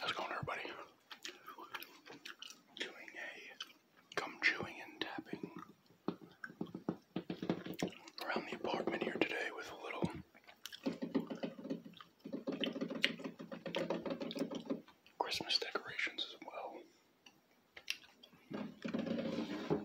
How's it going, everybody? Doing a gum chewing and tapping around the apartment here today with a little. Christmas decorations as well.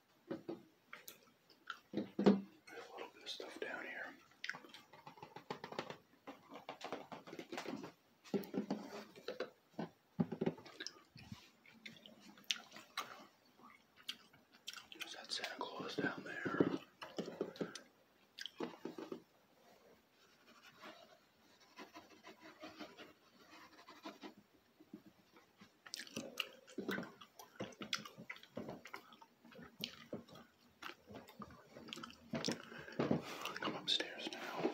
a little bit of stuff down here. There's that Santa Claus down there. Come upstairs now.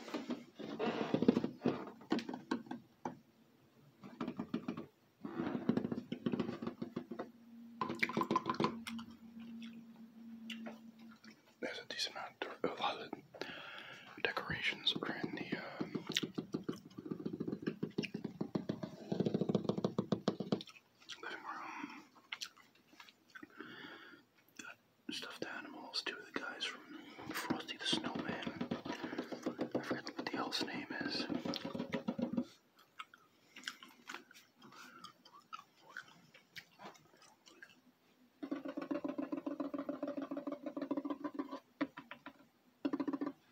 There's a decent amount of a lot decorations are in the uh, Living room. stuffed animals. Two of the guys from Frosty the Snowman. I forget what the elf's name is.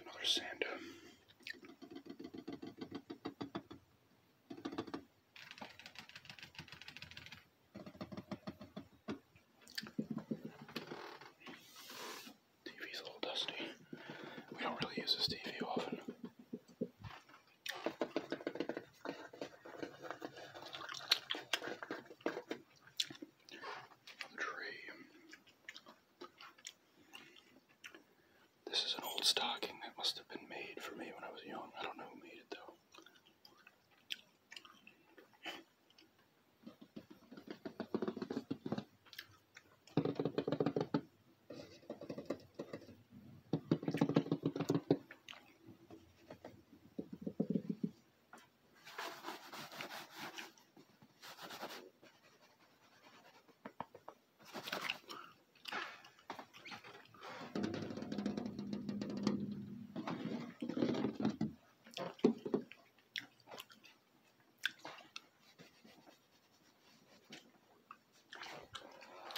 Another sand. TV's a little dusty. We don't really use this TV often. Dream. This is an old stocking that must have been made for me when I was young. I don't know who made it though.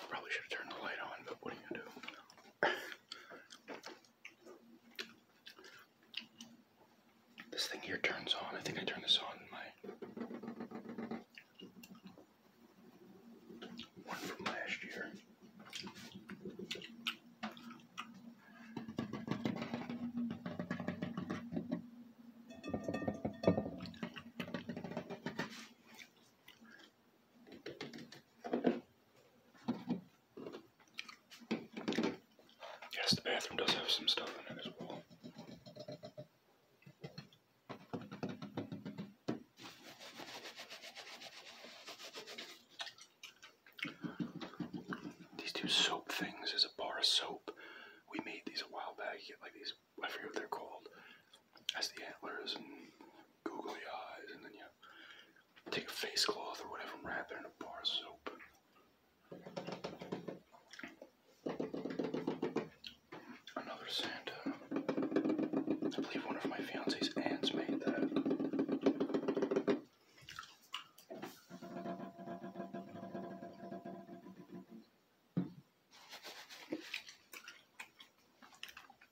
Probably should have turned the light on, but what are you gonna do? This thing here turns on. I think I turned this on in my one from last year. Yes, the bathroom does have some stuff in it as well. These two soap things is a bar of soap. We made these a while back. like these, I forget what they're called has the antlers and googly eyes, and then you take a face cloth or whatever and wrap it in a bar of soap. Another Santa. I believe one of my fiance's aunts made that.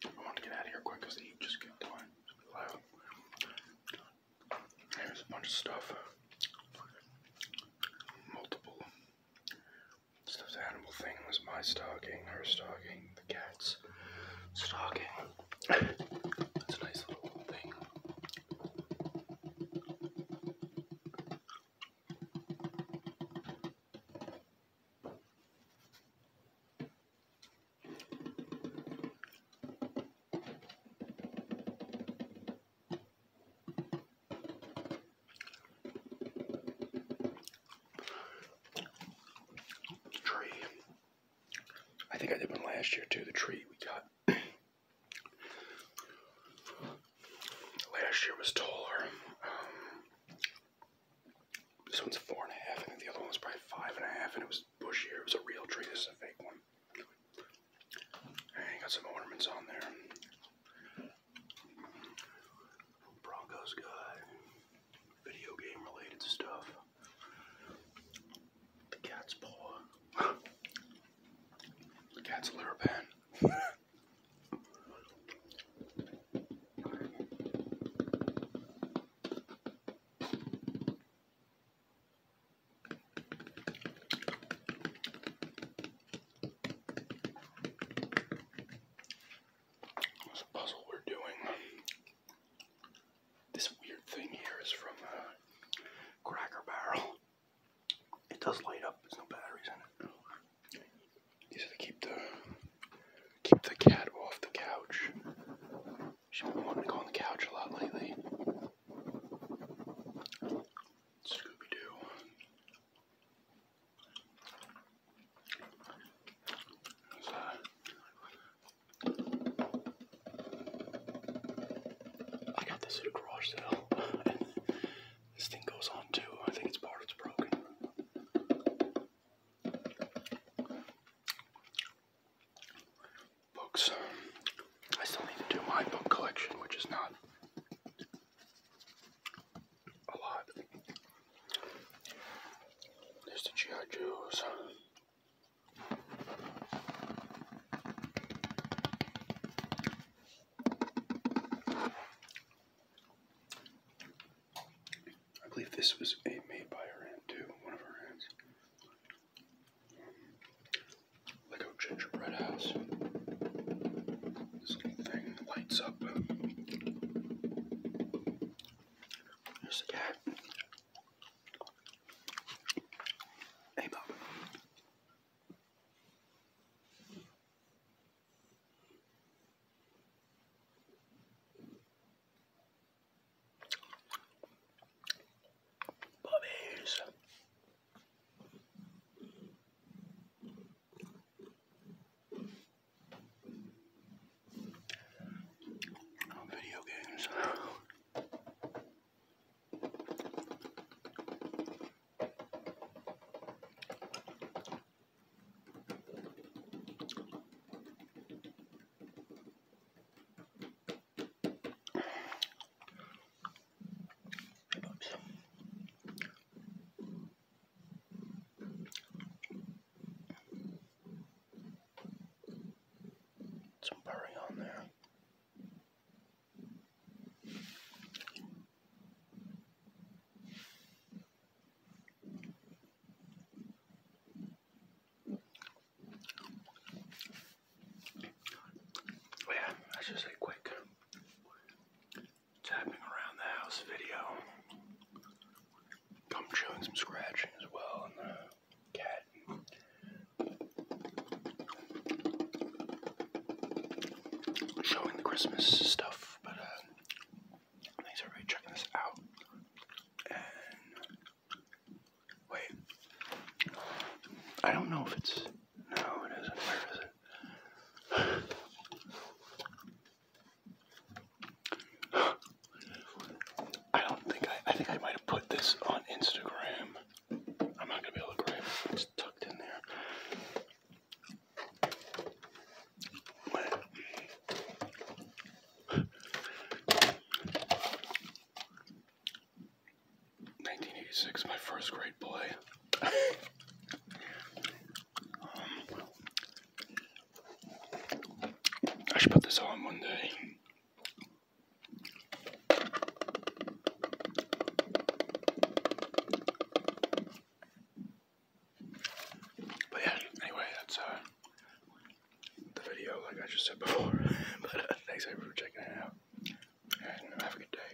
I want to get out of here quick because the heat just kept going. There's a bunch of stuff. Multiple stuffed animal thing was my stalking. her stalking. the cat's stalking. That's a nice little thing. The tree. I think I did one last year too. The tree we got last year was taller. Um, this one's four and a half. I think the other one was probably five and a half, and it was bushier. It was a real tree. This is a fake one. And got some ornaments on there. Broncos guy, video game related stuff. The cat's paw. the cat's litter pan. There's a puzzle we're doing. This weird thing here is from a uh, Cracker Barrel. It does light up. There's no batteries in it. These are to keep the keep the cat off the couch. She's been wanting to go on the couch a lot lately. Scooby Doo. I got this at a garage sale. This thing goes on too. I think it's part it's broken. Books. I still need to do my book collection, which is not a lot. There's the G.I. Joes. I believe this was a made by her hand too, one of her hands. Lego gingerbread house. This little thing lights up. There's the cat. Hey, Bob. Puppies. Video games. Some berry on there. Well, oh, yeah, that's just a quick tapping around the house video. I'm showing some scratching as well on the cat showing the Christmas stuff, but uh, thanks everybody checking this out. wait, I don't know if it's no, it isn't. Where is it? I don't think I. I think I might have put this on Instagram. I'm not going to be able to grab It's tucked in there. Nineteen eighty six, my first grade play. Um, I should put this on one day. But yeah, anyway, that's uh, the video, like I just said before. but uh, thanks everyone for checking it out, and uh, have a good day.